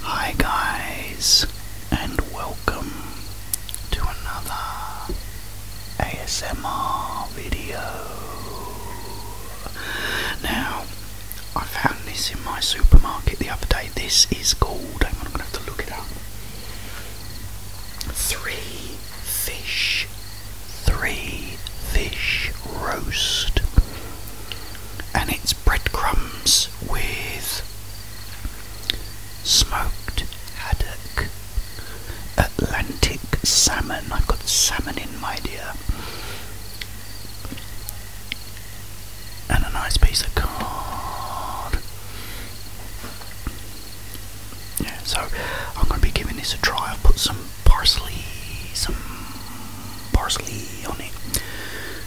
Hi, guys, and welcome to another ASMR video. Now, I found this in my supermarket the other day. This is called, I'm going to have to look it up. Three fish, three fish roast. And it's breadcrumbs with smoked haddock Atlantic salmon. I've got salmon in my dear. And a nice piece of cod. Yeah, so I'm going to be giving this a try. I've put some parsley, some parsley on it.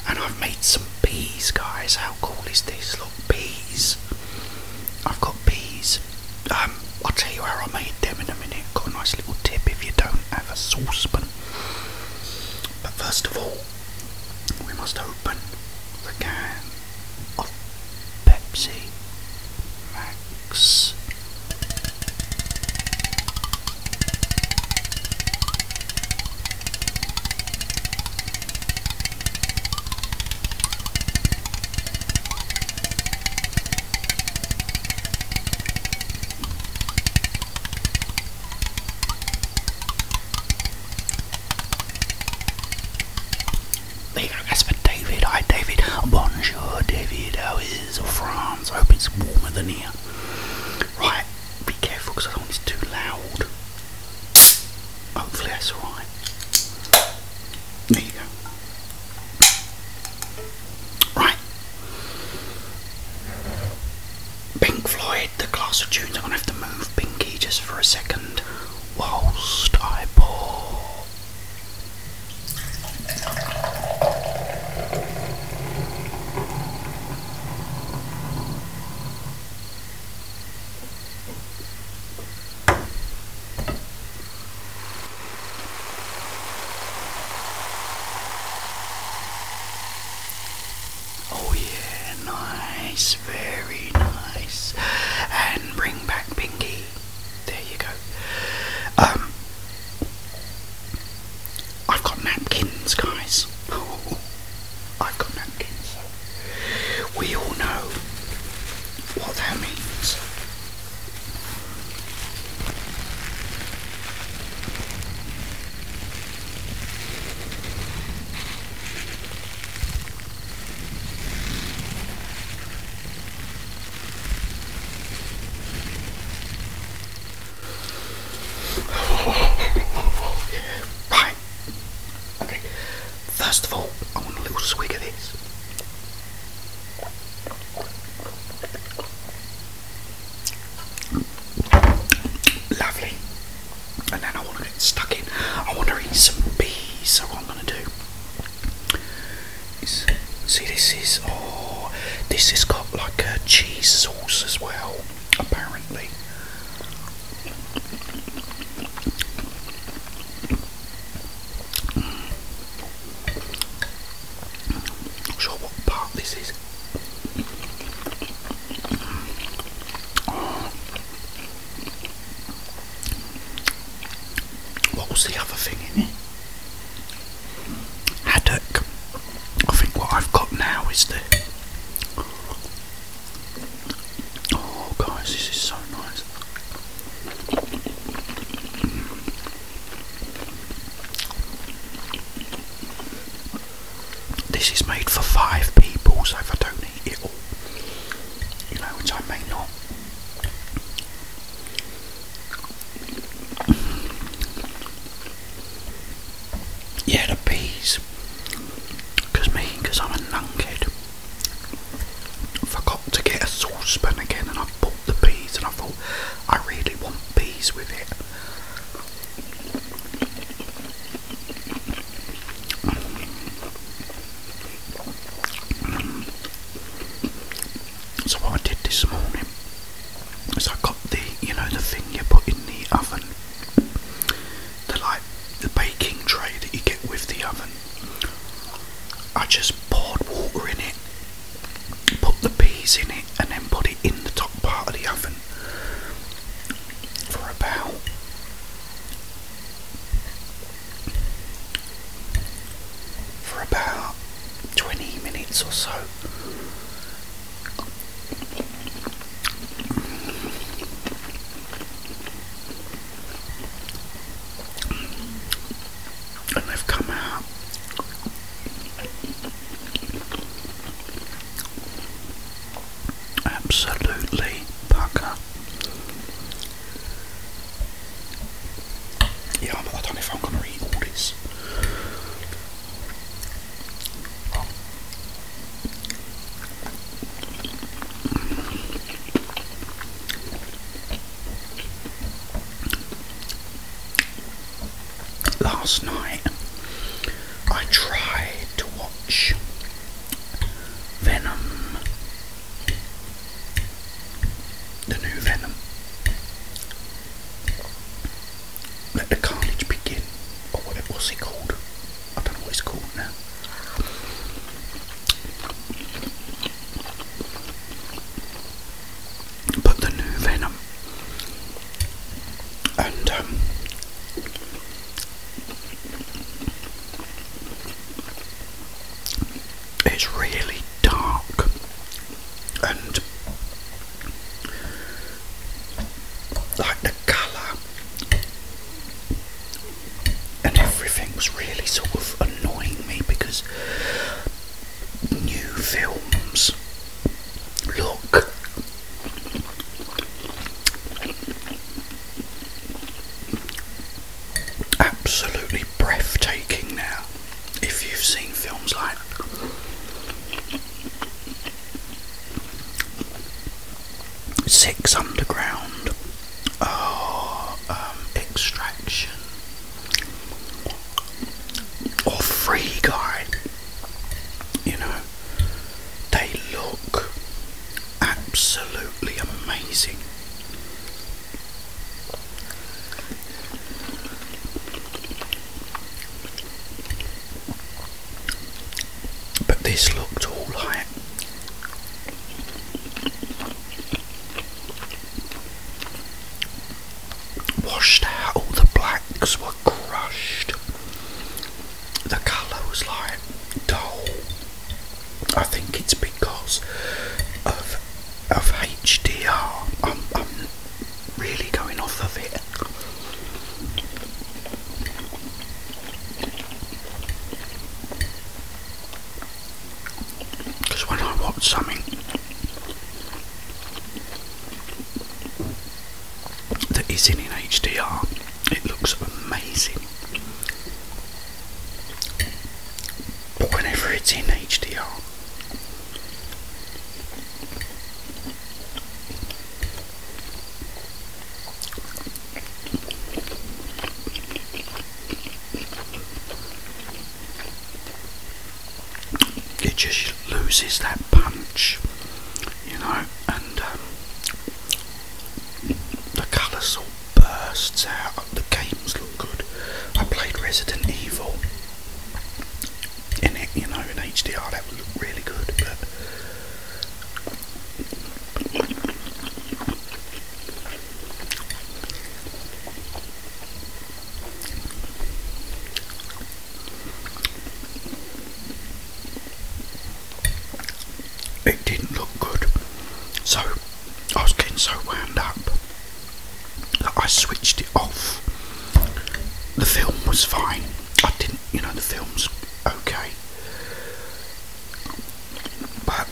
And I've made some peas, guys. How cool is this? Look, peas. I've got peas. Um, I'll tell you how I made them in a minute. Got a nice little tip if you don't have a saucepan. But first of all, we must open the can of Pepsi Max. There you that's for David. Hi, David. Bonjour, David. How is France? I hope it's warmer than here. Right, be careful because I don't want it's too loud. Hopefully, that's alright. There you go. Right. Pink Floyd, the class of tunes. I'm going to have to move Pinky just for a second whilst I pour. Oh yeah, nice, very nice. And bring back Pinky. There you go. Um, I've got napkins, guys. Oh, I've got napkins. We all know what that means. Bye. Okay. First of all, I want a little swig of this. Lovely. And then I want to get stuck in. I want to eat some peas. So what I'm going to do see this is oh this has got like a cheese sauce as well apparently. Not sure what part this is. What was the other thing in it? Haddock. I think what I've got now is the. Oh, guys, this is so nice. This is made for five people, so if I don't eat it all, you know, which I may not. Yeah, the peas. Because me, because I'm a kid. forgot to get a saucepan again and I Bought the peas and I thought I really want peas with it. So what I did this morning is I got the you know the thing you put in the oven the like the baking tray that you get with the oven I just poured water in it, put the peas in it, and then put it in the top part of the oven for about for about 20 minutes or so and they've come out. Absolutely pucker. Yeah, I don't if I'm going to eat all this. Last night I tried to watch Venom, the new Venom. Let the carnage begin, or what was it called? I don't know what it's called now but the new Venom. And um, it's really dark and like the colour and everything was really sort of annoying me because new films. Look. Absolutely breathtaking now. If you've seen films like Six Underground, oh, um, Extraction, or Free Guy, you know, they look absolutely amazing. But this looked all right washed out, all the blacks were crushed. The colour was like dull. I think it's because of of HDR. I'm, I'm really going off of it. Because when I watch something that isn't in HDR, it looks amazing. But whenever it's in HDR, it just loses that punch, you know, and um, the colour sort bursts out. The games look good. I played Resident Evil in it, you know, in HDR, that would look really good, it didn't look good, so I was getting so wound up that I switched it off. The film was fine, I didn't, you know, the film's okay, but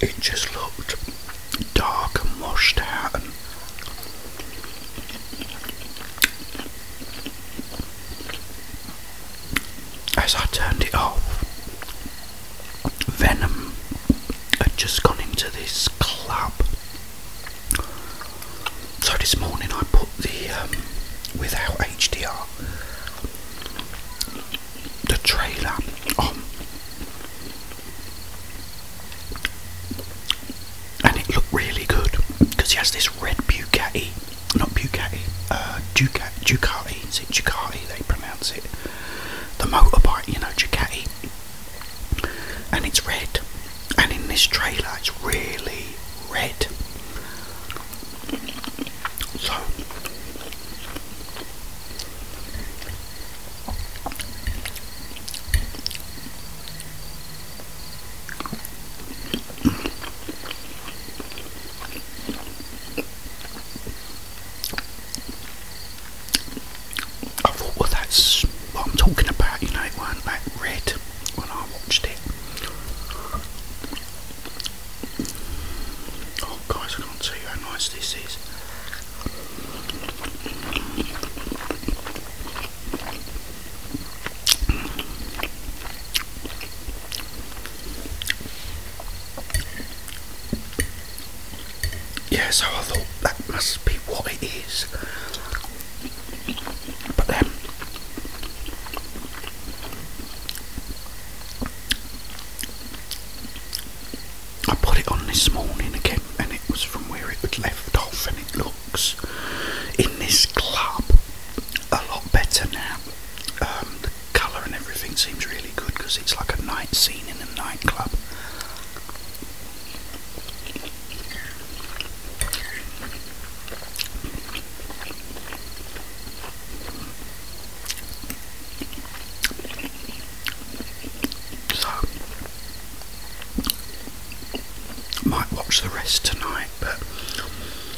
it just looked dark and washed out as I turned it off, Venom had just gone into this club. So this morning I put the um, without HDR the trailer and it looked really good because he has this red Bugatti, not Bugatti, uh, Ducati, Ducati, Ducati? They pronounce it. The motorbike, you know, Ducati, and it's red. And in this trailer, it's really red. So I thought, well, that's what I'm talking about, you know, it weren't that red when I watched it. Oh, guys, I can't see you how nice this is. Yeah, I thought that must be what it is. But then um, I put it on this morning again, and it was from where it had left off, and it looks in this club a lot better now. Um, the colour and everything seems really good because it's like a night scene in a nightclub. So, might watch the rest tonight, but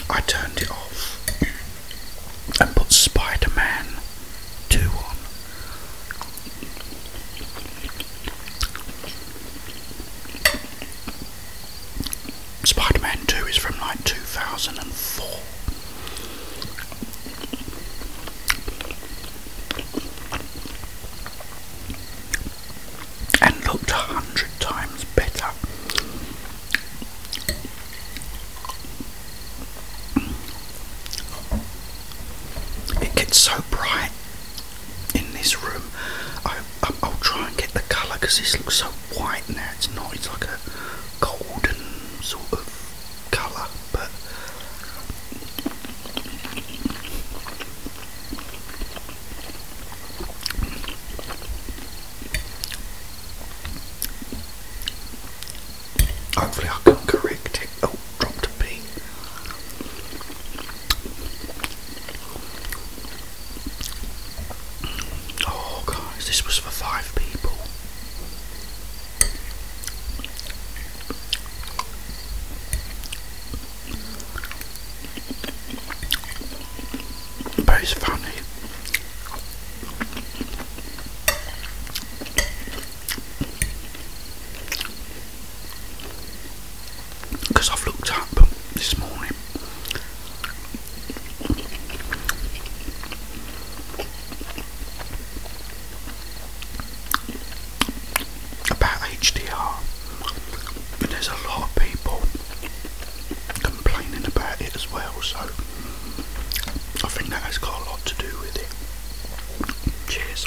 I turned it off and put Spider Man 2 on. Spider Man 2 is from like 2004. And looked a hundred times better. It gets so bright in this room. I'll try and get the colour because this looks so white now. It's not. It's like a golden sort of colour, but hopefully I can correct it. Oh, dropped a pea. Oh, guys, this was for five people. But it's funny. Because I've looked up this morning about HDR, but there's a lot of people complaining about it as well, so I think that has got a lot to do with it. Cheers.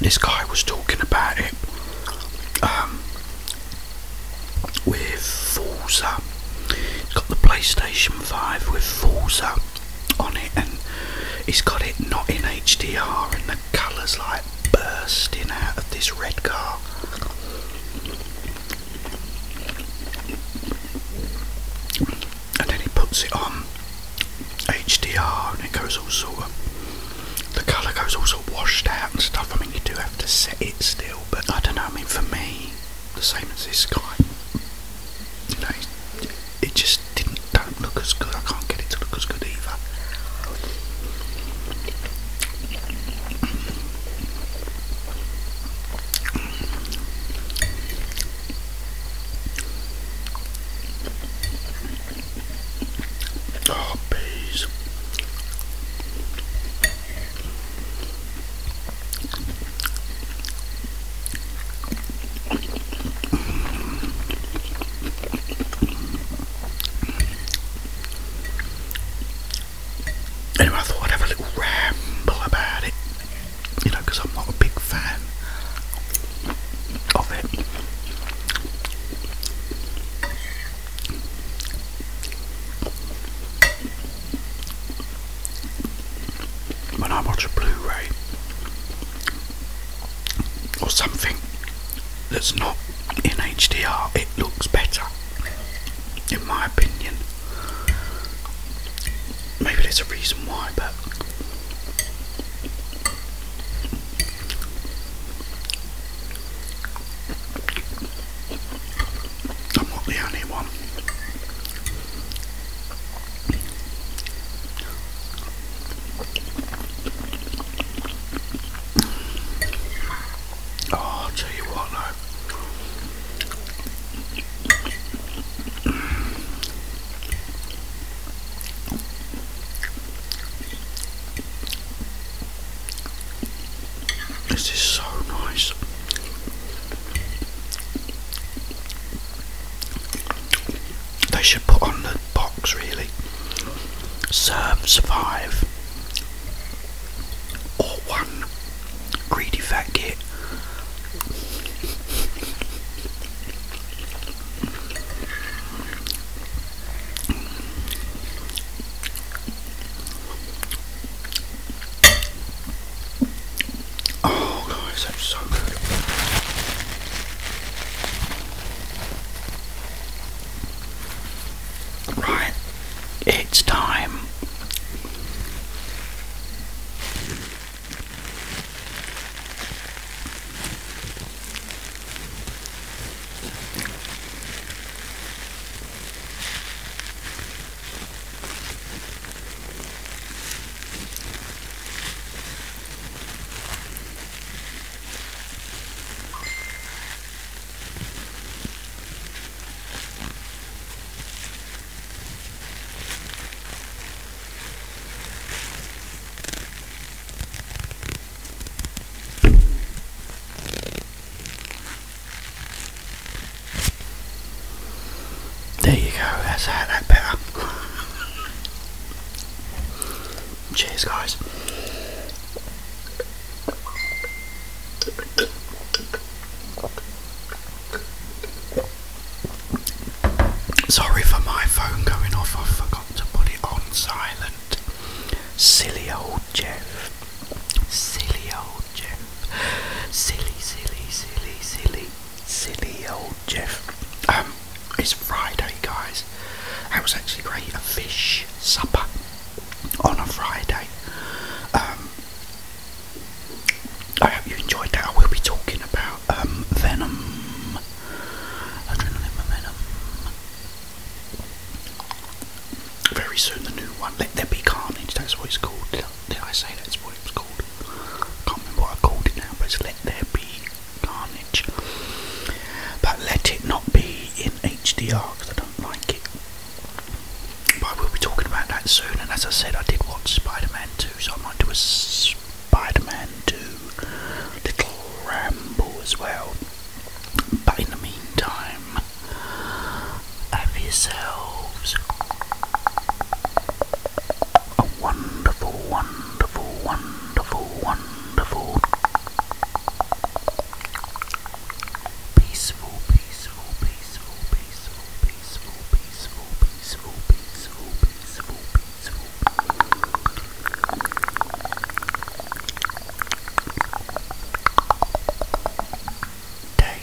This guy was talking about it um, with Forza. It's got the PlayStation 5 with Forza on it, and he has got it not in HDR, and the colours like bursting out of this red car. And then he puts it on HDR and it goes all sort of, the colour goes also washed out and stuff. I mean, you do have to set it still, but I don't know. I mean, for me, the same as this guy, you know, it just didn't, do look as good. I can't get it to look as good either. Oh, bees. Anyway, I thought I'd have a little ramble about it, you know, because I'm not a big fan of it. When I watch a Blu-ray or something that's not in HDR it looks better, in my opinion. Maybe there's a reason why, but I'm not the only one. Oh, I'll tell you what, though. This is so nice they should put on the box really serve, survive, or one greedy fat Oh, guys, that's so good. Right, it's time. There you go, that's how that better. Cheers guys. Sorry for my phone going off, I forgot to put it on silent. Silly old Jeff. Silly old Jeff. Silly, silly, silly, silly, silly old Jeff. Um, it's Friday, guys. That was actually great. A fish supper on a Friday. Um, I hope you enjoyed that. I will be talking about um, Venom. Adrenaline Venom. Very soon, the new one. Let There Be Carnage. That's what it's called. Did I say that's what it's called? I can't remember what I called it now, but Let There Be carnage. But let it not be in HDR because I don't like it. But I will be talking about that soon. And as I said, I did watch Spider Man 2, so I might do a Spider Man 2 little ramble as well. But in the meantime, have yourselves a wonderful, wonderful, wonderful, wonderful Peaceful, peaceful, peaceful, peaceful, peaceful, peaceful, peaceful, peaceful, peaceful, peaceful. Day.